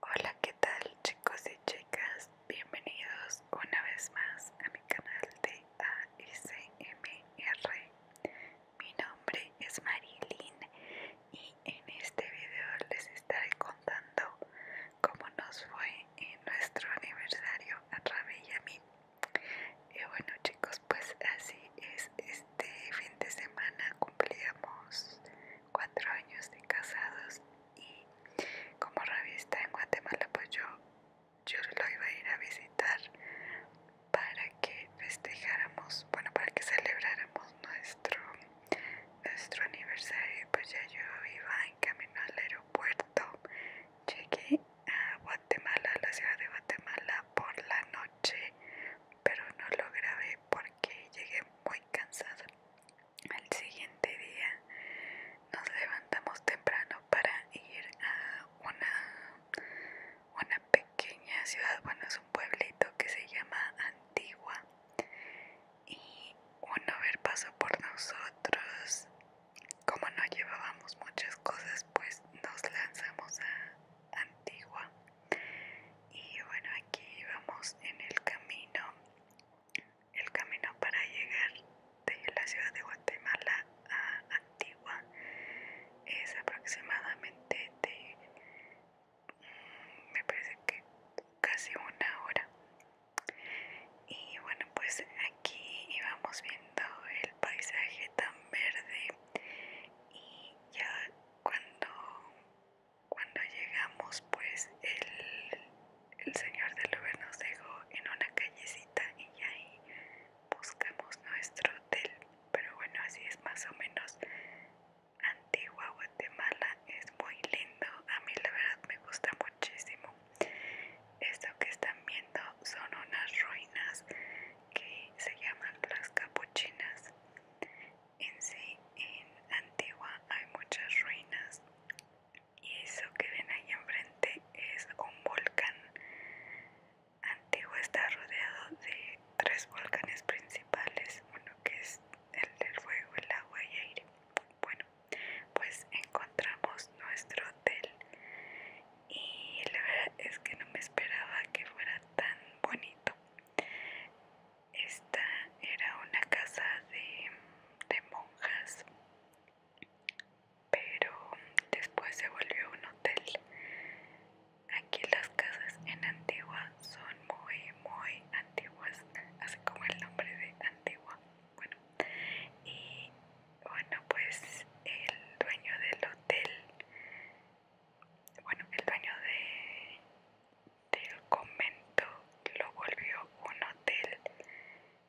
Hola, ¿qué tal chicos y chicas? Bienvenidos una vez más a mi canal de ASMR. Mi nombre es Marilyn y en este video les estaré contando cómo nos fue en nuestro aniversario a Rabe y a mí. Y bueno chicos, pues así es, este fin de semana cumplimos cuatro años de casados y como revista en Guatemala pues yo, yo lo iba a ir a visitar para que festejáramos, bueno para que celebráramos nuestro, nuestro aniversario pues ya yo iba en camino al aeropuerto, llegué a Guatemala, la ciudad de Guatemala por la noche pero no lo grabé por que llegué muy cansada. El siguiente día nos levantamos temprano para ir a una, una pequeña ciudad, bueno es un pueblito que se llama Antigua y un haber pasó por nosotros. Como no llevábamos muchas cosas, pues nos lanzamos a Antigua y bueno aquí vamos en el camino el camino para llegar de la ciudad de Guatemala a Antigua es aproximadamente de mm, me parece que casi una hora y bueno pues aquí íbamos viendo el paisaje tan verde y ya cuando cuando llegamos, pues el, señor del Uber nos dejó en una callecita y ahí buscamos nuestro hotel. Pero bueno, así es más o menos Antigua Guatemala, es muy lindo. A mí la verdad me gusta muchísimo. Esto que están viendo son unas ruinas que se llaman las capuchinas en sí en Antigua hay muchas ruinas y eso que ven ahí enfrente es un volcán. Antigua está rodeado de tres volcanes principales, uno que es el del fuego, el agua y aire. Bueno, pues encontramos nuestro hotel y la verdad es que no me esperaba que fuera tan bonito esta era una casa de, monjas, pero después se volvió un hotel. Aquí las casas en Antigua son muy, muy antiguas, así como el nombre de Antigua. Bueno, y bueno, pues el dueño del hotel bueno, el baño de, del convento lo volvió un hotel,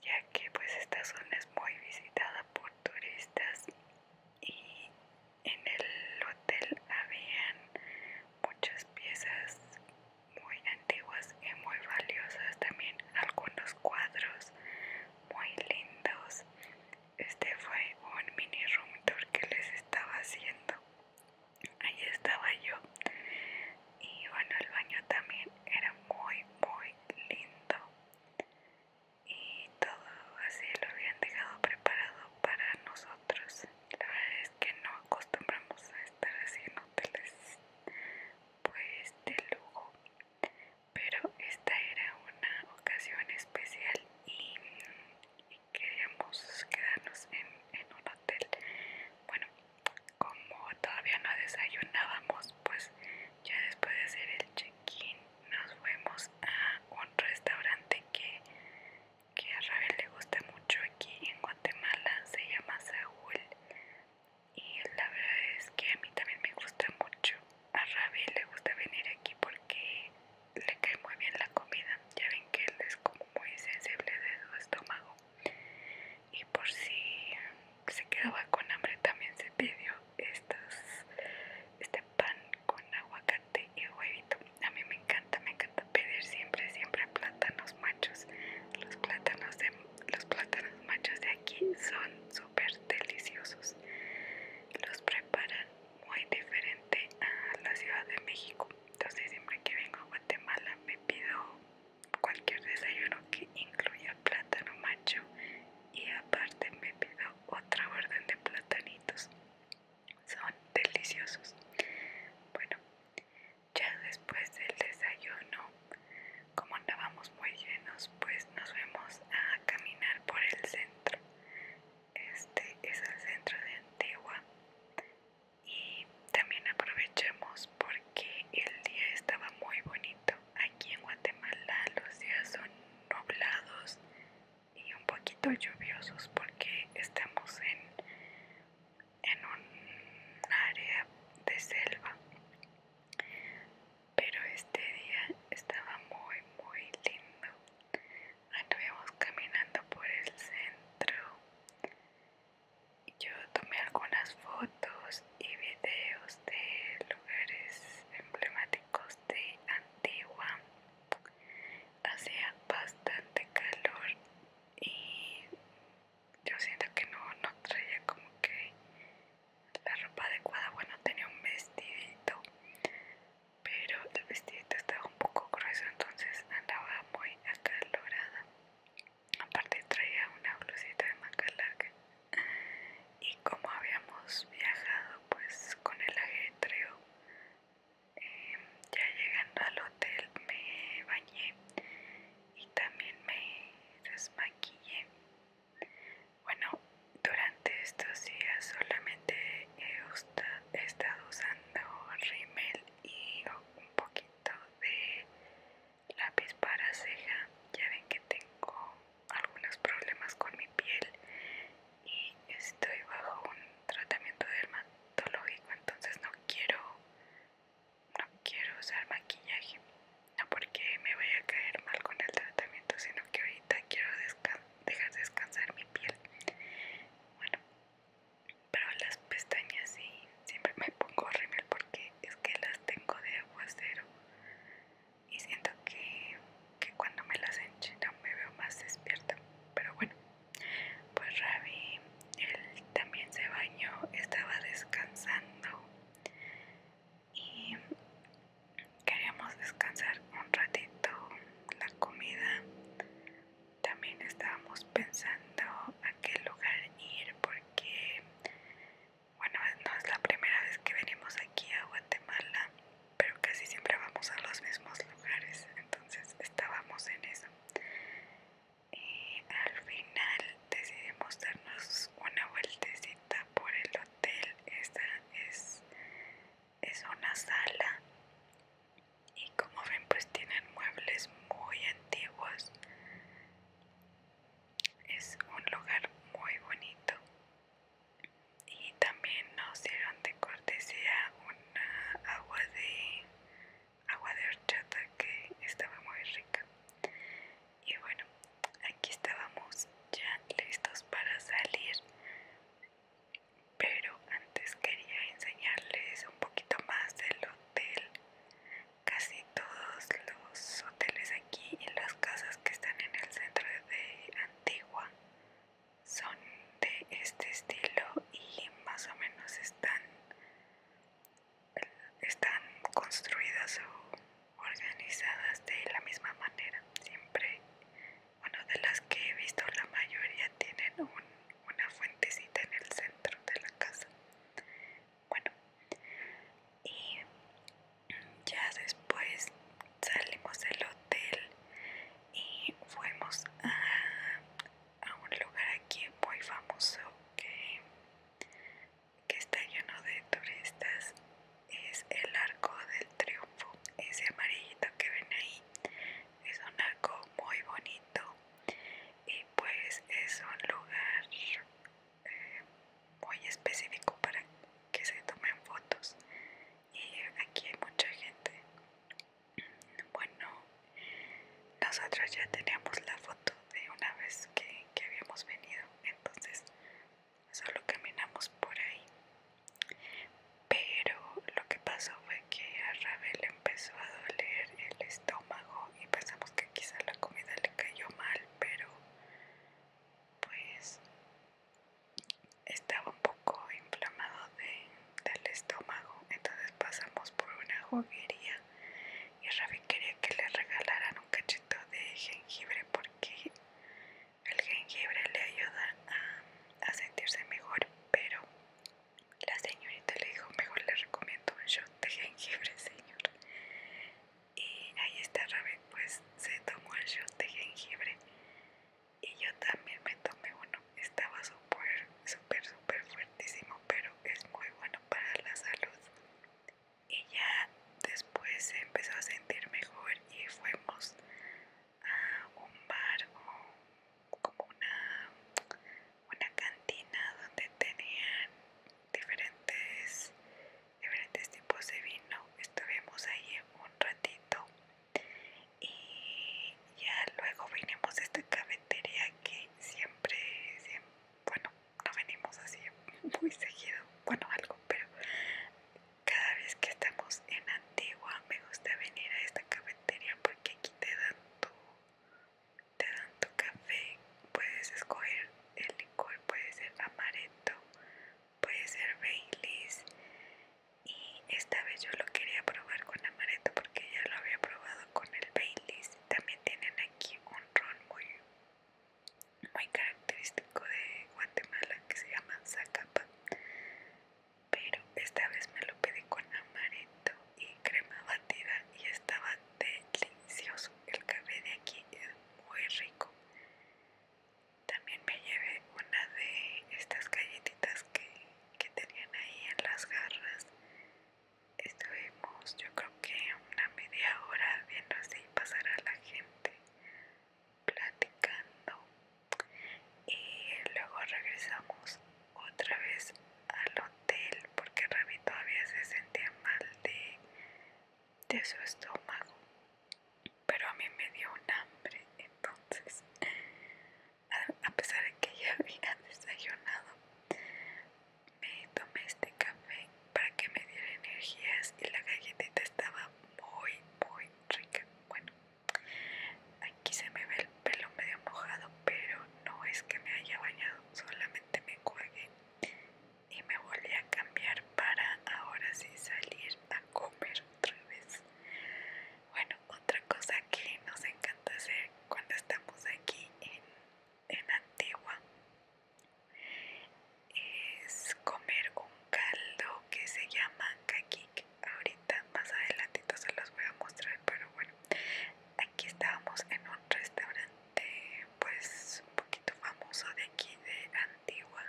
ya que pues esta zona es muy visitada por turistas y en el hotel habían muchas piezas muy antiguas y muy valiosas, también algunos cuadros muy lindos este fue un mini room tour que les estaba haciendo ahí estaba yo y bueno el baño también era muy muy lindo y todo así lo habían dejado preparado para nosotros la verdad es que no acostumbramos a estar así en hoteles pues de lujo pero esta era una ocasión especial y queríamos quedarnos en, un hotel. Bueno, como todavía no desayunábamos, pues ya después de hacer el check-in nos fuimos a un restaurante que, que a Ravel le gusta mucho aquí en Guatemala, se llama Saúl. Y la verdad es que a mí también me gusta mucho a Ravi le gusta venir aquí porque le cae muy bien la comida. Ya ven que él es como muy sensible de su estómago. Y por si se quedaba con hambre también se pidió estos, este pan con aguacate y huevito. A mí me encanta, me encanta pedir siempre, siempre plátanos machos. Los plátanos, de, los plátanos machos de aquí son súper deliciosos. Los preparan muy diferente a la Ciudad de México. Entonces siempre que vengo a Guatemala me pido cualquier desayuno que incluya plátano macho y aparte me pido otra orden de platanitos. Son deliciosos. Bueno, ya después del desayuno, como andábamos muy llenos, pues nos fuimos a caminar por el centro este es el centro de Antigua y también aprovechamos porque el día estaba muy bonito aquí en Guatemala los días son nublados y un poquito lluviosos porque estamos en en un área de selva pero este día estaba muy muy lindo. Anduvimos caminando por el centro. Yo tomé algunas fotos y videos de lugares emblemáticos de Antigua. Hacía bastante calor y yo siento que no, no traía como que la ropa adecuada. Bueno, tenía un vestidito pero el vestidito estaba un poco grueso entonces andaba muy hasta aparte traía una blusita de maca y como habíamos viajado pues con el ajetreo em, ya llegando al hotel me bañé y también me desmaquillé bueno, durante estos días solamente he estado usando rímel y un poquito de lápiz para ceja. Ya ven que tengo algunos problemas con mi piel y estoy bajo un tratamiento dermatológico, entonces no quiero no quiero usar maquillaje. No porque me vaya a caer mal con el tratamiento, sino que ahorita quiero dejas descansar mi piel. Bueno, pero las pestañas sí, siempre me pongo rímel porque es que las tengo de agua cero y siento que, cuando me las no me veo más despierta. Pero bueno, pues Ravi, él también se bañó, estaba descansando y queríamos descansar un ratito la comida también estábamos pensando a qué lugar ir porque bueno no es la primera vez que venimos aquí a Guatemala pero casi siempre vamos a los mismos lugares entonces estábamos en eso y al final decidimos darnos una vueltecita por el hotel esta es, es una sala y como ven pues tienen muebles muy antiguos es un lugar muy bonito y también nos dieron de cortesía una agua de agua de horchata que estaba muy rica y bueno aquí estábamos ya listos para salir pero antes quería enseñarles un poquito más del hotel casi todos los hoteles aquí y las casas que están en el centro de Antigua son de este estilo y más o menos están están construidas organizadas de la misma manera. Siempre, bueno, de las que he visto, la mayoría tienen una fuentecita en el centro de la casa. Bueno, y ya después salimos del hotel y fuimos a, a un lugar aquí muy famoso que que está lleno de turistas es el arco del triunfo ese amarillito que ven ahí es un arco muy bonito y pues es un lugar eh, muy específico para que se tomen fotos y aquí hay mucha gente bueno nosotros ya teníamos la foto de una vez que, que habíamos venido entonces solo caminamos por ahí. Pero lo que pasó fue que a Ravel empezó a doler el estómago y pensamos que quizá la comida le cayó mal, pero pues estaba un poco inflamado de, del estómago. Entonces pasamos por una juguería y Rabel quería que le regalaran cachito de jengibre porque el jengibre le ayuda a, sentirse mejor, pero la señorita le dijo, mejor le recomiendo un shot de jengibre, señor. Y ahí está Rabe pues se tomó el shot de jengibre y yo también me tomé uno. Estaba súper, súper, súper fuertísimo, pero es muy bueno para la salud y ya después se empezó a sentir mejor y fuimos a un bar o como una, una cantina donde tenían diferentes, diferentes tipos de vino. Estuvimos ahí un ratito y ya luego vinimos a esta cafetería que siempre, siempre bueno, no venimos así muy seguido, bueno, algo, pero cada vez que estamos en Antigua me gusta venir a esta cafetería porque aquí te dan tu, café, puedes escoger el licor, puede ser amaretto, puede ser Baileys y esta vez yo lo quería probar con amaretto porque ya lo había probado con el Baileys. También tienen aquí un ron muy muy característico de Guatemala que se llama Zacapa pero esta vez me lo pedí con amaretto y crema batida y estaba delicioso el café de aquí es muy rico también me llevé una de estas galletitas que, que tenían ahí en las garras Estuvimos yo creo que una media hora viendo así pasar a la gente platicando y luego regresamos otra vez al hotel porque Ravi todavía se sentía mal de, de su estómago pero a mí me dio un hambre entonces a pesar de que ya había desayunado me tomé este café para que me diera energías y la galletita estaba muy muy rica bueno aquí se me ve el pelo medio mojado pero no es que me haya bañado solamente me cuelgué y me volví a cambiar para ahora sí salir a comer otra vez bueno otra cosa que nos encanta hacer cuando estamos aquí en Antigua es comer un caldo que se llama kakik ahorita más adelantito se los voy a mostrar pero bueno aquí estábamos en un restaurante pues un poquito famoso de aquí de Antigua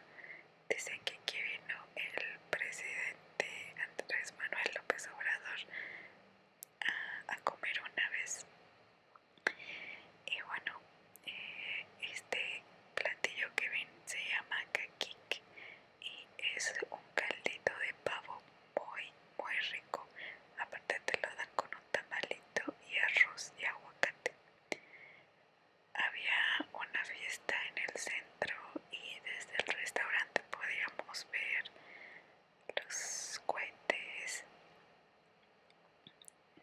dicen que aquí vino el presidente Andrés Manuel López Obrador a comer una vez y bueno, eh, este platillo que ven se llama kakik y es un caldito de pavo muy, muy rico. Aparte, te lo dan con un tamalito y arroz y aguacate. Había una fiesta en el centro y desde el restaurante podíamos ver los cohetes.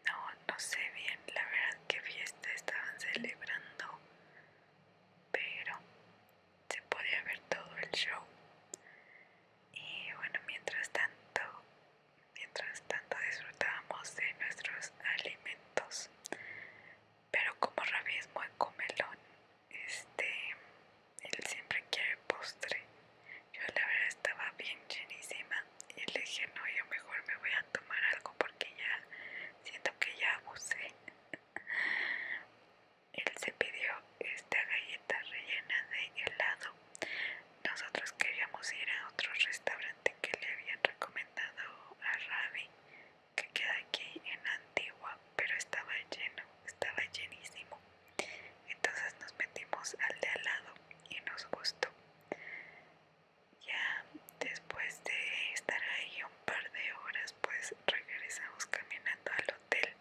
No, no sé bien la verdad qué fiesta estaban celebrando, pero se podía ver todo el show. Y bueno, mientras tanto, mientras tanto disfrutábamos de nuestros alimentos. Pero como rabismo es comelón, este él siempre quiere postre. Yo la verdad estaba bien llenísima y le dije, no, yo mejor me voy a tomar algo porque ya siento que ya abusé. Él se pidió esta galleta rellena de helado. Nosotros queríamos ir a otro restaurante que le habían recomendado a Ravi, que queda aquí en Antigua, pero estaba lleno, estaba llenísimo. Entonces nos metimos al de al lado y nos gustó. Ya después de estar ahí un par de horas, pues regresamos caminando al hotel.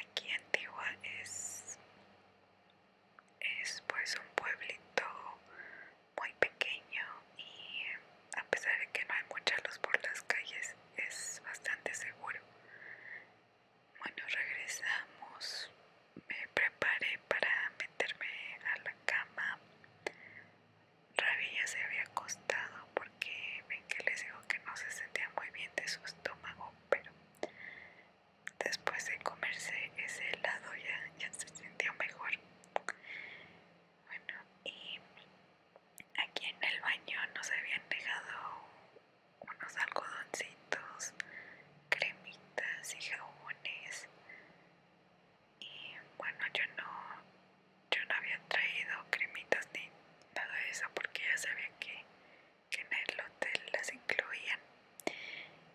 Aquí Antigua es, es pues un pueblito muy pequeño y eh, a pesar de que no hay mucha luz por las calles, es bastante seguro. Bueno, regresamos. Me preparé para meterme a la cama. Ravi ya se había acostado porque ven que les digo que no se sentía muy bien de su estómago, pero después de comerse ese helado ya, ya se sintió mejor. Bueno, y aquí en el baño nos habían dejado unos algodoncitos, cremitas y jabones. Y bueno, yo no, yo no había traído cremitas ni nada de eso porque ya sabía que, en el hotel las incluían.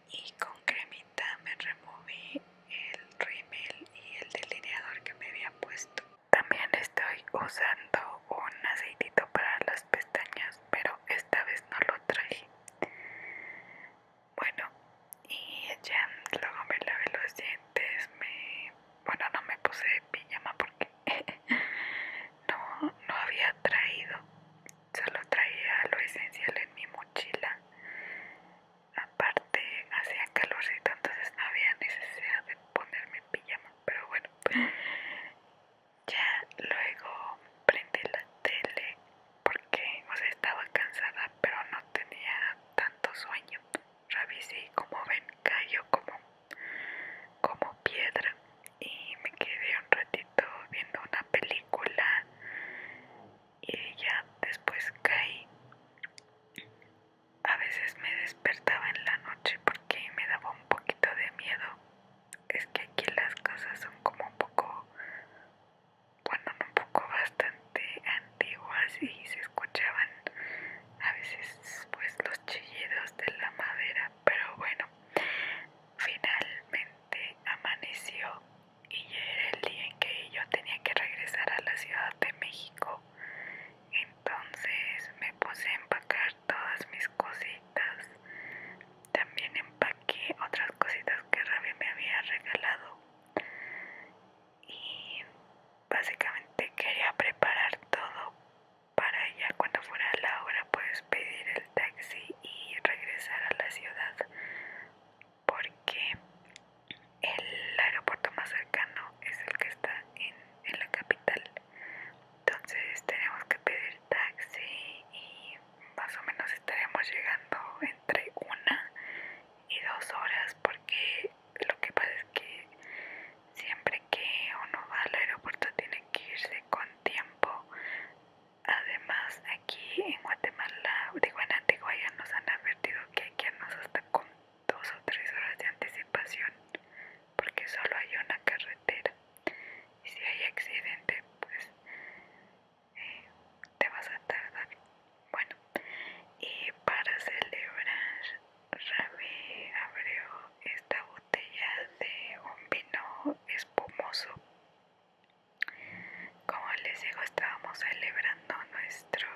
Y con cremita me removí el rímel y el delineador que me había puesto. También estoy usando un aceitito para las pestañas, pero esta vez no lo traje. Bueno, y ya luego me lavé los dientes, me... bueno, no me puse pijama porque no, no había traído, solo traía lo esencial en mi mochila. Aparte hacía calorcito, entonces no había necesidad de ponerme pijama, pero bueno, ya luego prendí la tele porque estaba cansada pero no tenía tanto sueño. Revisé como ven cayó como, como piedra y me quedé un ratito viendo una película y ya después caí. A veces me despertaba en la noche porque me daba un poquito de miedo. Es que aquí las cosas son como un poco, bueno, un poco bastante antiguas y se escuchaban a veces pues los chillidos de la madera, pero bueno, finalmente amaneció y ya era el día en que yo tenía que regresar a la Ciudad de México entonces me puse a empacar todas mis cositas. También empaqué otras cositas que Rabia me había regalado. Y básicamente quería preparar todo para ya cuando fuera la hora pues pedir el taxi y regresar a la ciudad porque el aeropuerto más cercano es el que está en, en la capital entonces tenemos que pedir taxi y más o menos estaremos llegando entre una y dos horas porque lo que pasa es que siempre que uno va al aeropuerto tiene que irse con tiempo además aquí en Guatemala digo en Antigua ya nos han advertido que aquí nos irnos hasta con dos o tres horas de anticipación porque solo hay una carretera y si hay accidente pues eh, te vas a tardar bueno y para celebrar Rami abrió esta botella de un vino espumoso como les digo estábamos celebrando nuestro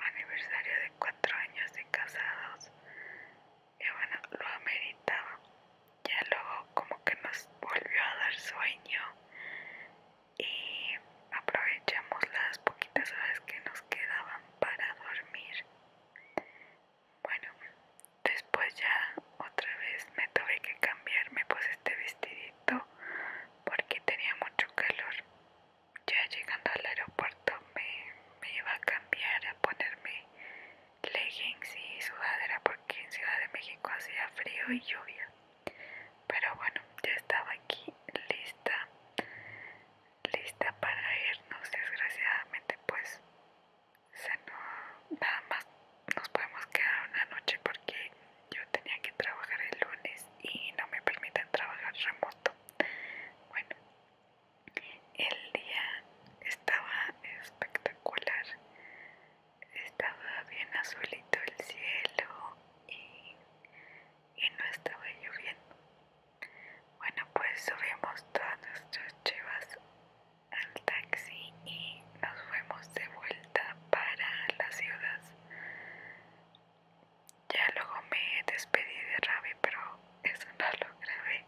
aniversario de cuatro años de casados y bueno, lo ameritaba. Ya luego como que nos volvió a dar sueño y aprovechamos las poquitas horas que nos quedaban para dormir. Bueno, después ya otra vez me tuve que cambiarme pues este vestidito porque tenía mucho calor ya llegando al aeropuerto me, iba a cambiar a ponerme leggings y sudadera porque en Ciudad de México hacía frío y lluvia. Pero bueno, ya estaba aquí lista, lista para irnos. Desgraciadamente pues se no, nada más nos podemos quedar una noche porque yo tenía que trabajar el lunes y no me permiten trabajar remoto. Bueno, el día estaba espectacular, estaba bien azulito el cielo y, no estaba lloviendo. Bueno, pues subimos todas nuestras chivas al taxi y nos fuimos de vuelta para la ciudad. Ya luego me despedí de Ravi, pero eso no lo grabé.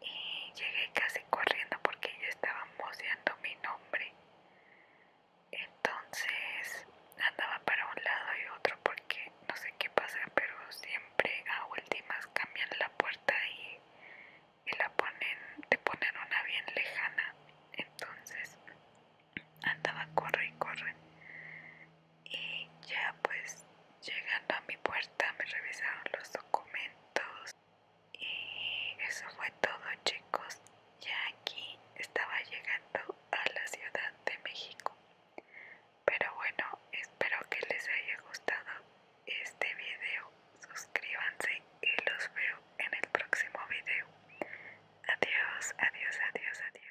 Y llegué casi corriendo porque ya estaba moseando mi nombre. Entonces andaba para un lado y otro porque no sé qué pasa, pero siempre a últimas cambian la puerta y, y la ponen, te ponen una bien lejana. Entonces andaba corre y corre y ya pues llegando a mi puerta me revisaron los documentos y eso fue todo chicos ya aquí estaba llegando a la ciudad de México pero bueno espero que les haya gustado este video suscríbanse y los veo en el próximo video adiós adiós adiós adiós